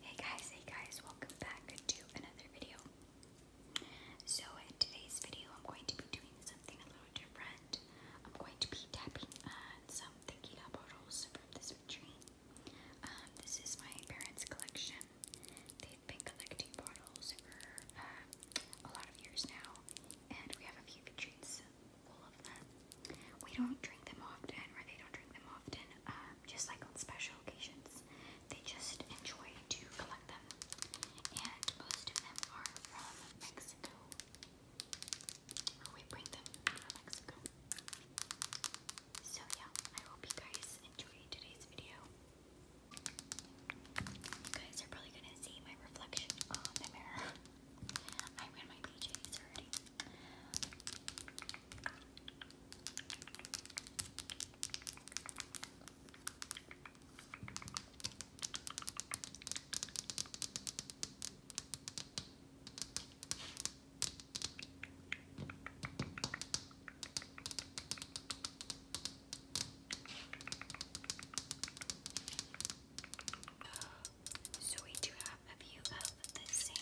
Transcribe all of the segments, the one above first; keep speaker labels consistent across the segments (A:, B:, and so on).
A: Hey guys, hey guys, welcome back to another video. So, in today's video, I'm going to be doing something a little different. I'm going to be tapping some Thinking Apple from this retreat. Um, this is my parents' collection. They've been collecting bottles for um, a lot of years now, and we have a few retreats full of them. We don't drink them often, or they don't drink them often. Uh, just like on special occasions. They just enjoy to collect them. And most of them are from Mexico. we bring them from Mexico. So yeah, I hope you guys enjoyed today's video. You guys are probably gonna see my reflection on the mirror. I'm in my PJs already. So we do top of you of the same.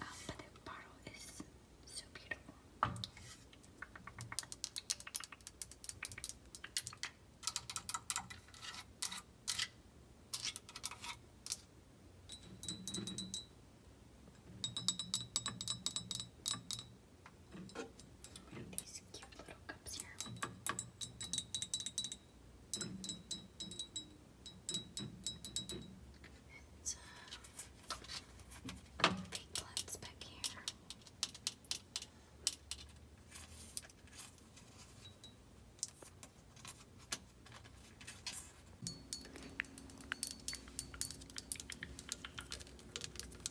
A: Um, but the bottle is so beautiful. We have these cute little cups here. It's uh, big plants back here.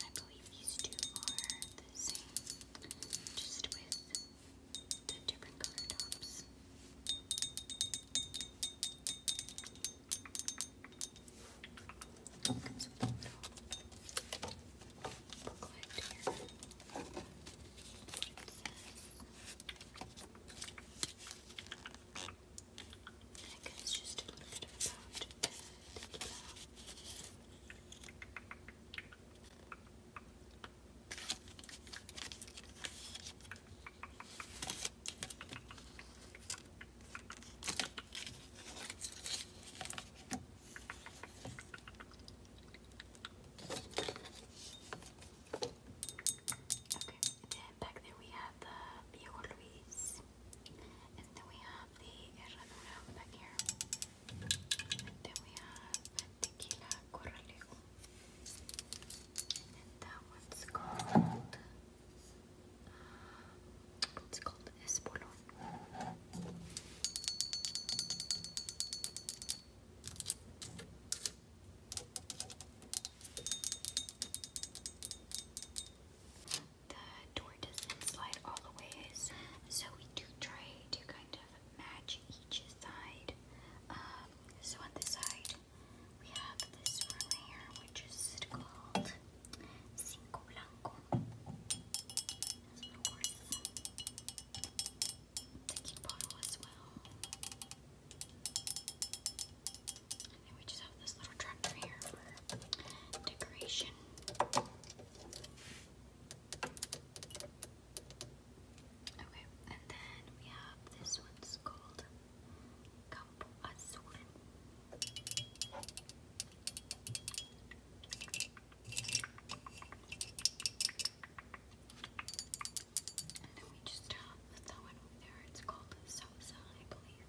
A: I believe these two are the same, just with the different color tops. Oh, comes with a little booklet here. It I guess just a little bit about Okay, then back there we have the Bio Luis and then we have the herradura back here. then we have the tequila corralejo. And that one's called. It's called Espolón the door doesn't slide all the ways. So we do try to kind of match each side. Um, so on this side, we have this one right here, which is called Cinco Blanco. It's a bottle as well we just have this little tractor here for decoration. Okay, and then we have this one's called Campo Azul. And then we just have that one over there. It's called Salsa, I believe.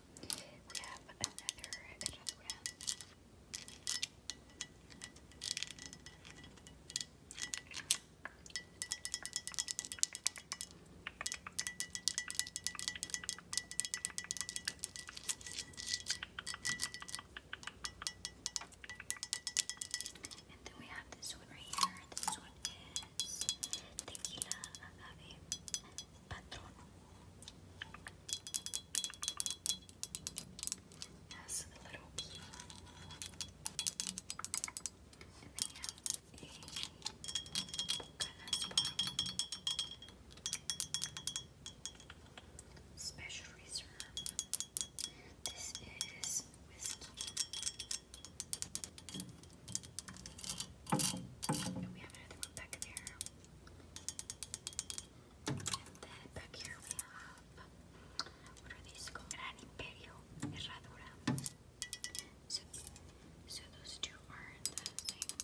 A: We have another another And then we have this one right here. This one is tequila agave patrono. a little bee. you Special reserve. This is whiskey. And we have another one back there. And then back here we have, what are these Gran Imperio Herradura. So, so those two are the same.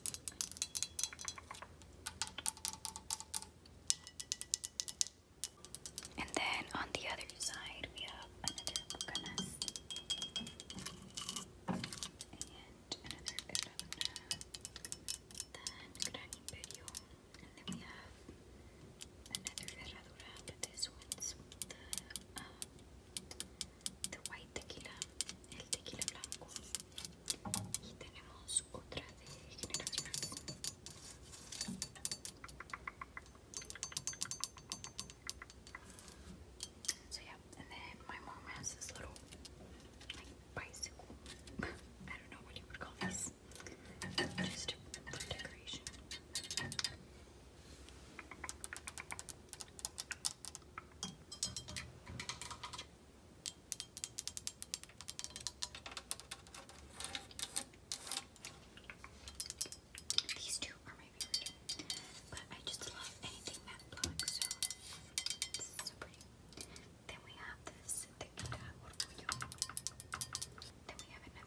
A: And then on the other side we have another bucanas and another herradura, then Gran Imperio, and then we have another herradura, but this one's the, um, the white tequila, el tequila blanco, y tenemos otra de generaciones. So yeah, and then my mom has this little like bicycle. I don't know what you would call this. Just decoration. These two are my favorite. But I just love anything matte so it's so pretty. Then we have this Then we have another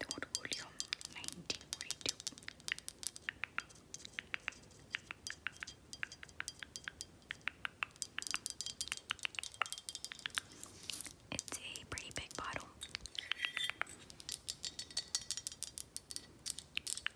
A: Doğru volume It's a pretty big bottle.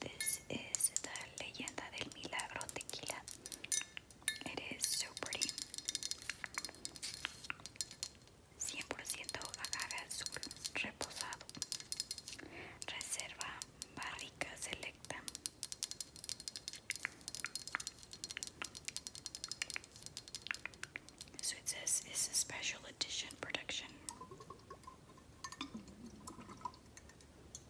A: This is the Leyenda del Milagro tequila. It is so pretty. 100% agave azul reposado. Reserva barrica selecta. So it says it's a special edition production.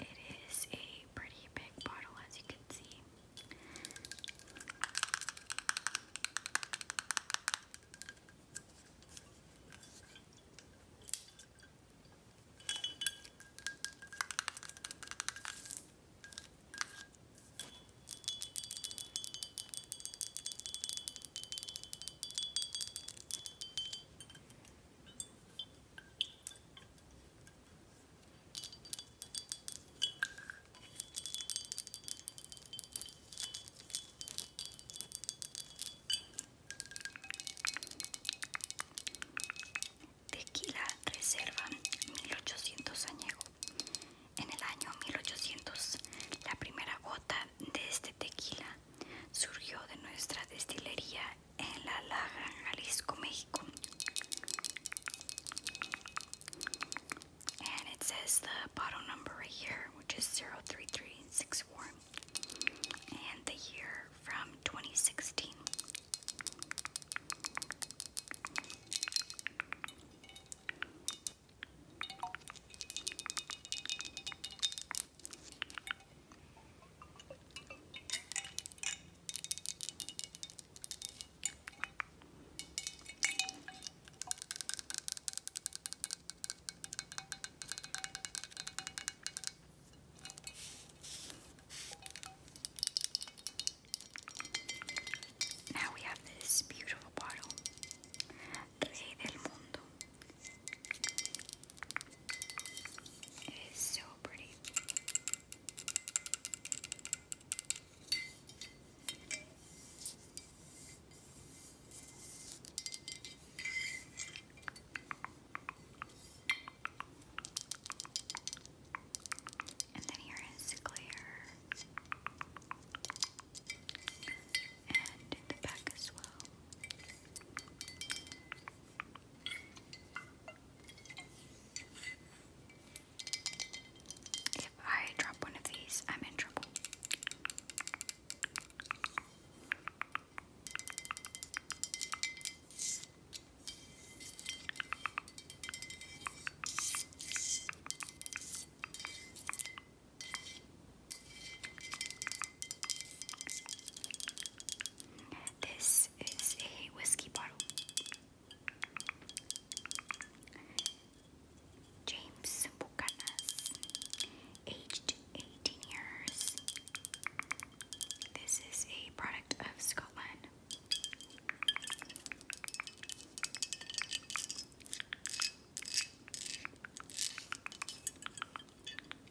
A: It is a really pretty big bottle, as you can see. Tequila Reserva 1800 añejo. En el año 1800, la primera gota de este tequila surgió de nuestra destilería en La Laja, Jalisco, Mexico. And it says the bottle number here, which is 03364, and the year from 2016. Now we have this beautiful bottle, Rey del Mundo it is so pretty. And then here is clear, and in the back as well. If I drop one of these, I'm in trouble. This is a whiskey bottle. James Bucanas, aged 18 years. This is a product of Scotland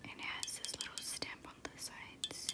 A: and it has this little stamp on the sides.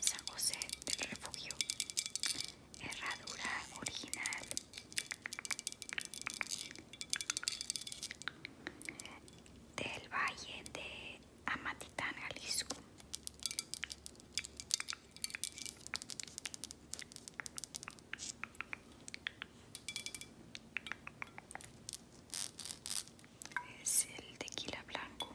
A: San José del Refugio, herradura original. Del Valle de Amatitán, Jalisco. Es el tequila blanco.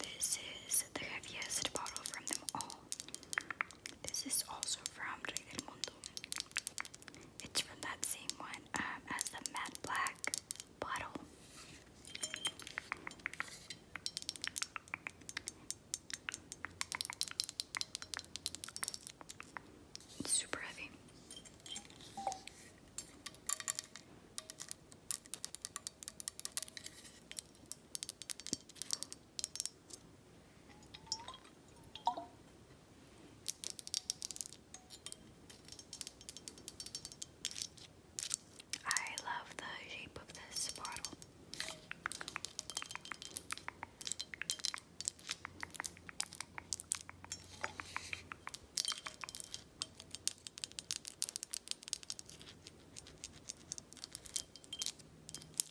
A: This is the heaviest bottle from them all. This is also from Rey Mundo. It's from that same one um, as the matte black bottle. It's super heavy. I love the shape of this bottle.